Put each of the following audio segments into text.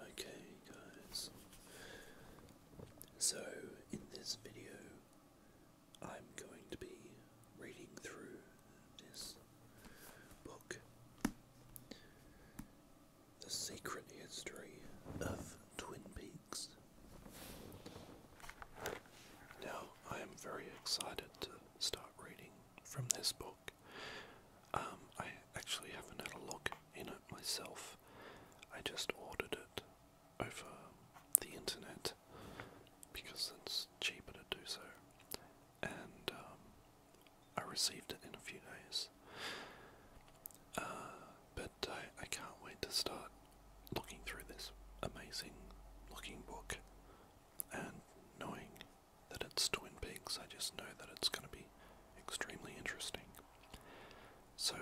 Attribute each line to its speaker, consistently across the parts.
Speaker 1: Okay, guys. So, in this video, I'm going to be reading through this book The Secret History of Twin Peaks. Now, I am very excited to start reading from this book. Um, I actually haven't had a look in it myself. I just ordered it over the internet because it's cheaper to do so. And um, I received it in a few days. Uh, but I can't wait to start looking through this amazing looking book and knowing that it's Twin Peaks, I just know that it's going to be extremely interesting. So,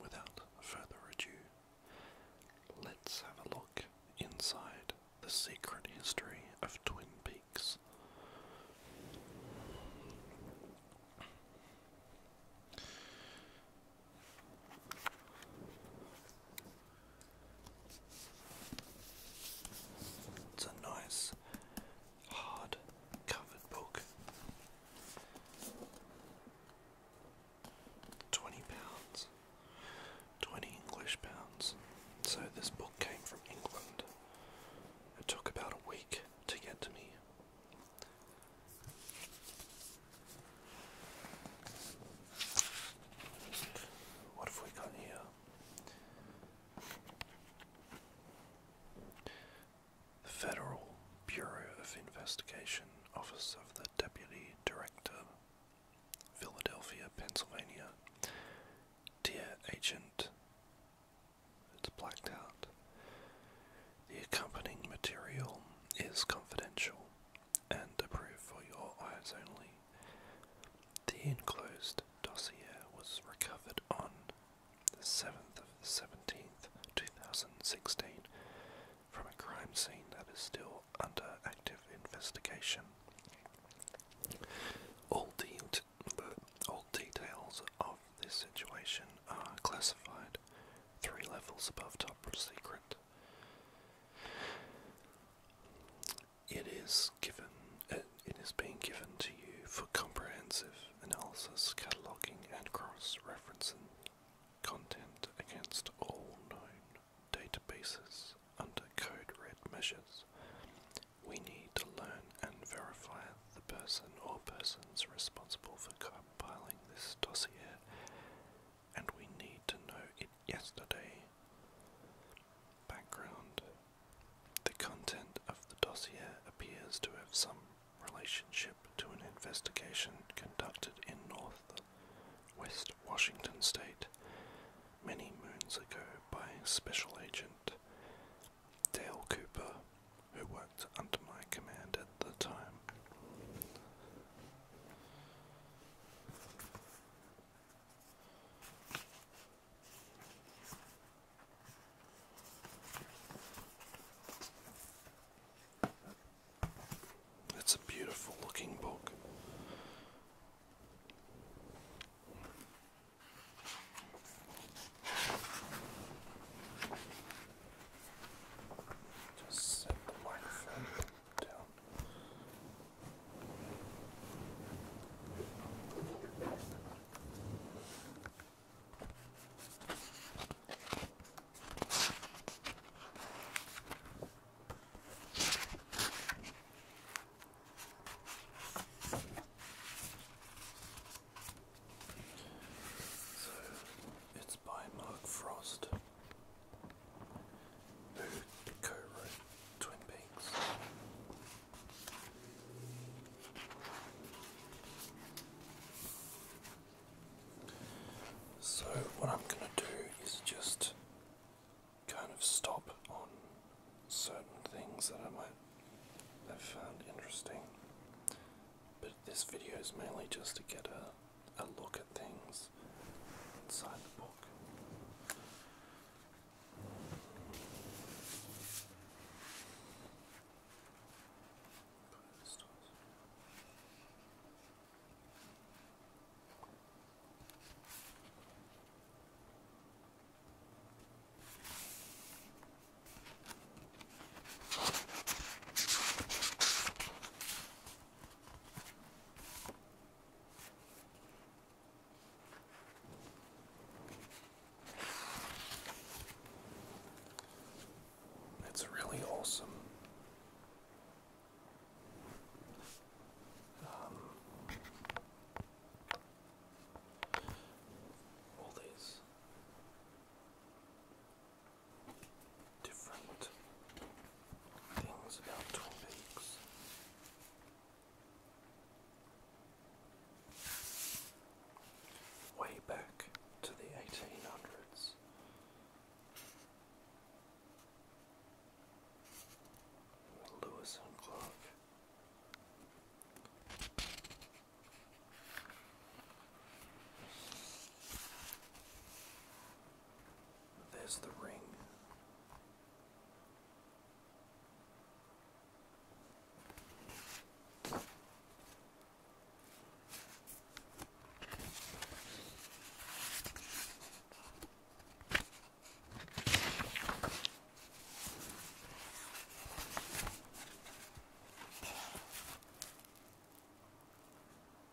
Speaker 1: without further ado, let's have a look inside the secret history of Twin Peaks. It's a nice hard covered book. Twenty pounds. Twenty English pounds. So this book came from England. It took about a week to get to me. What have we got here? The Federal Bureau of Investigation, Office of the Deputy Director, Philadelphia, Pennsylvania. Dear Agent, it's blacked out. The accompanying material is confidential and approved for your eyes only. The enclosed dossier was recovered on the 7th of the 17th, 2016, from a crime scene that is still under active investigation. All, details of this situation are classified three levels above top secret it is given uh, it is being given to you for comprehensive analysis, cataloging and cross-referencing content against all known databases under code red measures. We need to learn and verify the person or persons responsible for compiling this dossier and we need to know it yesterday. Background The content of the dossier appears to have some relationship to an investigation conducted in North West Washington State many moons ago by Special Agent Dale Cooper, who worked under my command at the time. It's a beautiful looking book. Just set the microphone. So it's by Mark Frost. So what I'm going to do is just kind of stop on certain things that I might have found interesting. But this video is mainly just to get a a look at things inside the book. It's really awesome. Um, all these different things about Twin Way back to the 1800s. Lewis and Clark. There's the ring.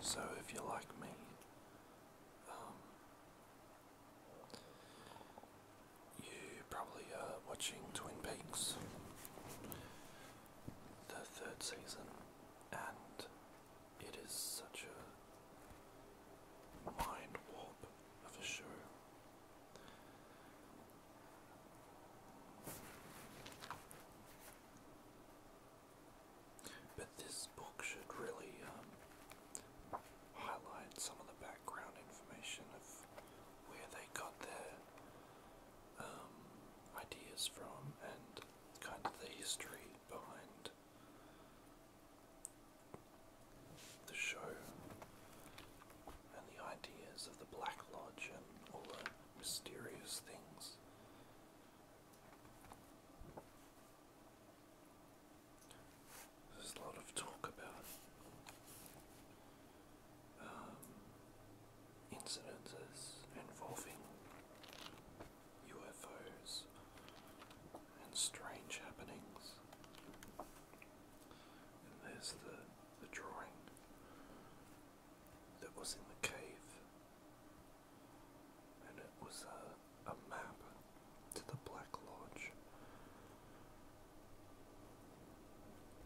Speaker 1: So, if you're like me, um, you probably are watching Twin Peaks, the third season, and it is such a mind warp of a show. But this book should really um, highlight some of the background information of where they got their um, ideas from and kind of the history behind the show and the ideas of the Black Lodge and all the mysterious things there's a lot of talk about um, incidences involving UFOs and strange happenings. And there's the the drawing that was in the cave and it was a, map to the Black Lodge.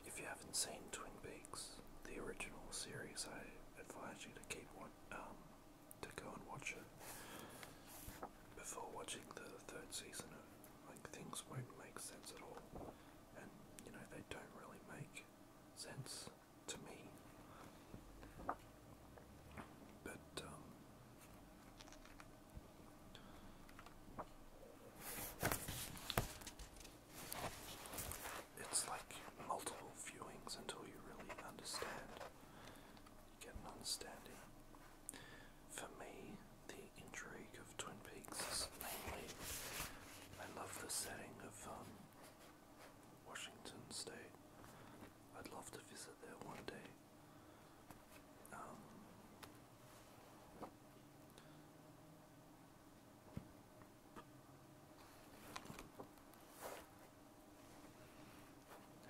Speaker 1: If you haven't seen Twin Peaks, the original series, I advise you to keep one, um, to go and watch it before watching the third season. Like things won't make sense at all, and you know they don't really make sense to me. But um, it's like multiple viewings until you really understand. get an understanding. For me, the intrigue of Twin Peaks is mainly I love the setting of um, Washington State. I'd love to visit there one day. Um,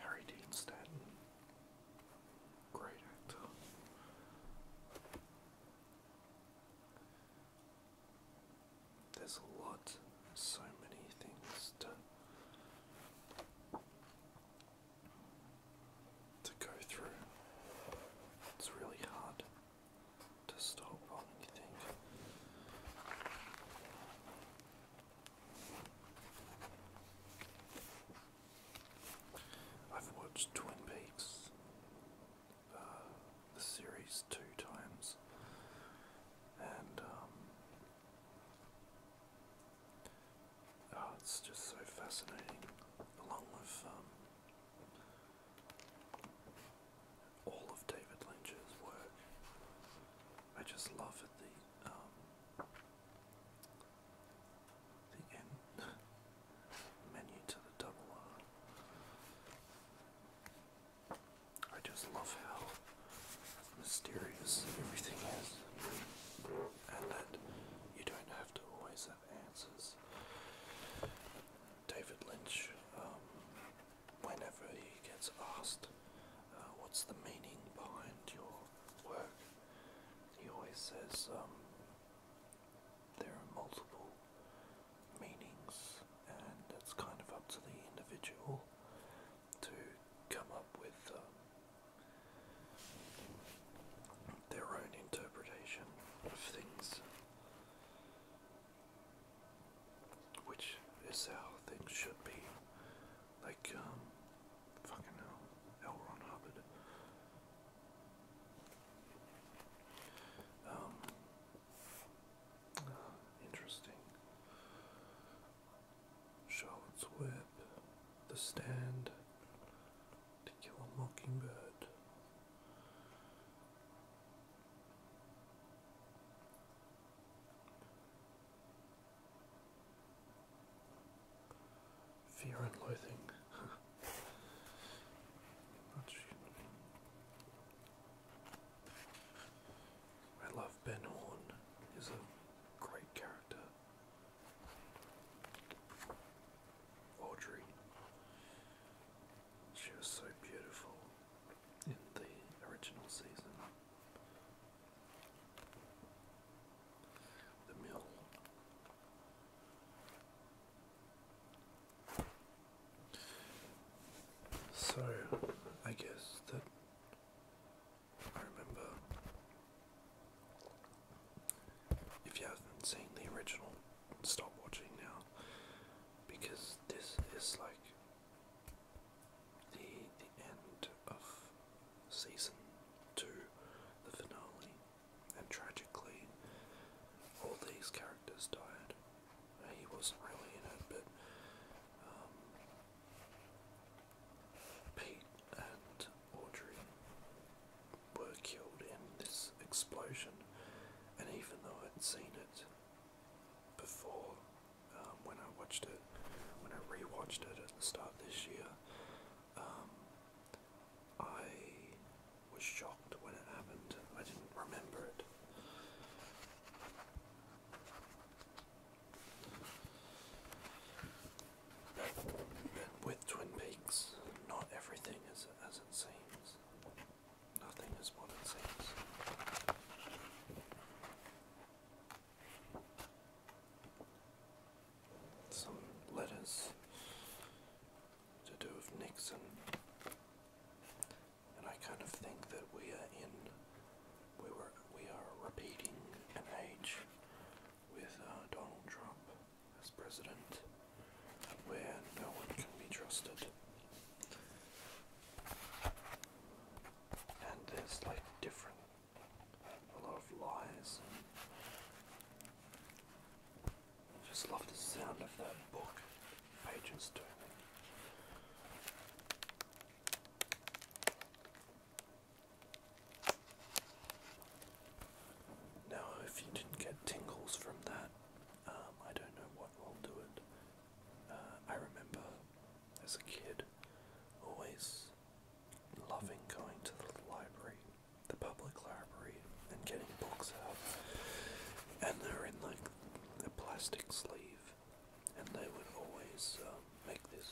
Speaker 1: Harry Dean Stanton, great actor. There's a lot, so many things to to go through. It's really hard to stop on anything. I've watched Twin Peaks the series two times, and um, oh, it's just so fascinating. Along with um, all of David Lynch's work, I just love at The um, the end. menu to the double R. I just love how mysterious everything is, and that you don't have to always have answers. David Lynch, um, whenever he gets asked uh, what's the meaning behind your work, he always says, um, there are multiple meanings, and it's kind of up to the individual to come up with um, their own interpretation of things, which is how things should be. Like, um, fucking hell, L. Ron um, oh, interesting. Charlotte's Web, The Stand, To Kill a Mockingbird. Fear and loathing. I love Ben Horn. He's a great character. Audrey. She was so beautiful in the original season. The Mill. So, I guess that I remember if you haven't seen the original, stop watching now because this is like the the end of season two, the finale and tragically, all these characters died. He wasn't really in it, but um, Pete and Audrey were killed in this explosion, and even though I'd seen it before, um, when I watched it, when I rewatched it at the start this year, um, I was shocked when it happened. I didn't remember it. with Twin Peaks, not everything is as it seems. Nothing is what it seems some letters to do with Nixon. And I kind of think that we are in we were we are repeating an age with uh, Donald Trump as president where no one can be trusted. And there's like different a lot of lies I Just love the sound of that book pages turning. Now, if you didn't get tingles from that, um, I don't know what will do it. Uh, I remember as a kid always loving going to the library the public library and getting books out, and they're in like a plastic sleeve, and they would always um, make this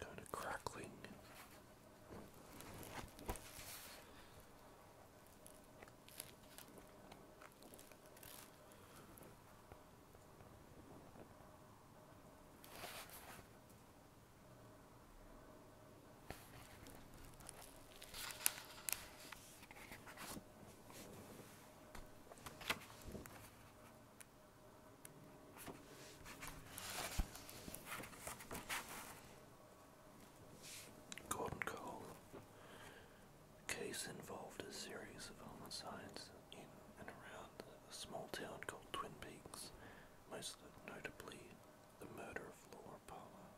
Speaker 1: kind of crackling. Gordon Cole. The case involved a series of homicides in and around a small town called Twin Peaks, most notably the murder of Laura Palmer.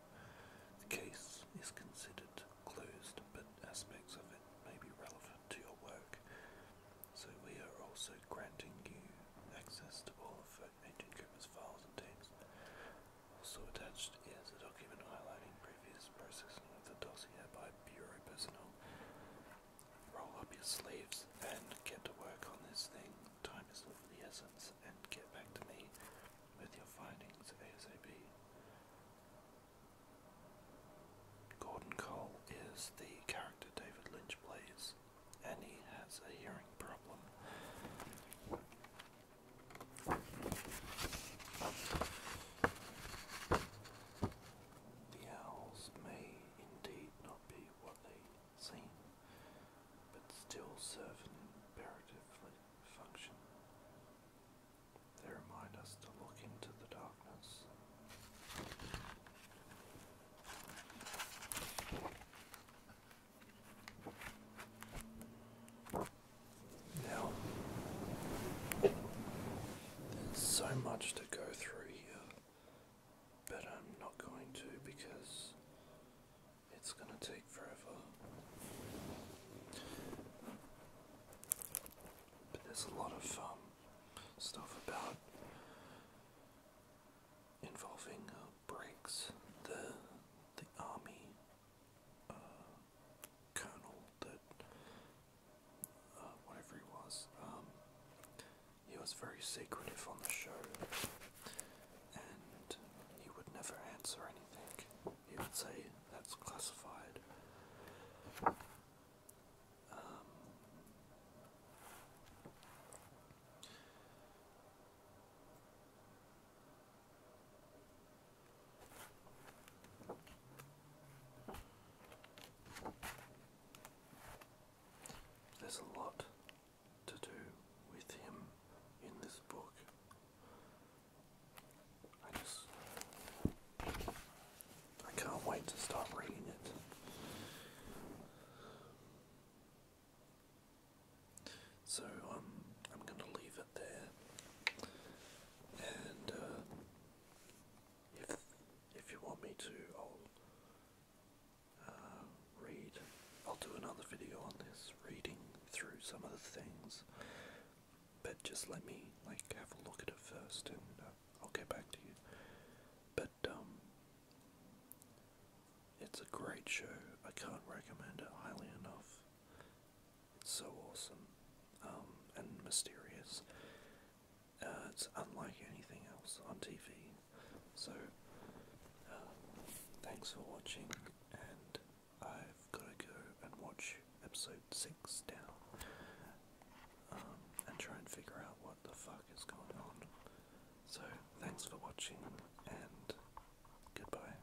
Speaker 1: The case is considered closed, but aspects of it may be relevant to your work, so we are also granting you access to all of Agent Cooper's files and tapes. Also attached is a document highlighting previous processing of the dossier by bureau personnel Roll up your sleeves and get to work on this thing. Time is of the essence, and get back to me with your findings ASAP. Gordon Cole is the character David Lynch plays, and he has a hearing problem. The owls may indeed not be what they seem, but still serve an imperative function. They remind us to look into the darkness. Now, there's so much to go through but I'm not going to because it's going to take forever. But there's a lot of um, stuff about involving uh, breaks. The the army uh, colonel that uh, whatever he was. Um, he was very secretive on the show, and he would never answer anything. He would say, that's classified. Um, there's a lot to do with him in this book. I just. I can't wait to start reading it. So um, I'm going to leave it there, and uh, if if you want me to, I'll uh, read. I'll do another video on this, reading through some of the things. But just let me like have a look at it first, and uh, I'll get back to you. But um, it's a great show. I can't recommend it highly enough. It's so awesome um, and mysterious. Uh, it's unlike anything else on TV. So, uh, thanks for watching, and I've got to go and watch episode 6 now um, and try and figure out what the fuck is going on. So, thanks for watching, and goodbye.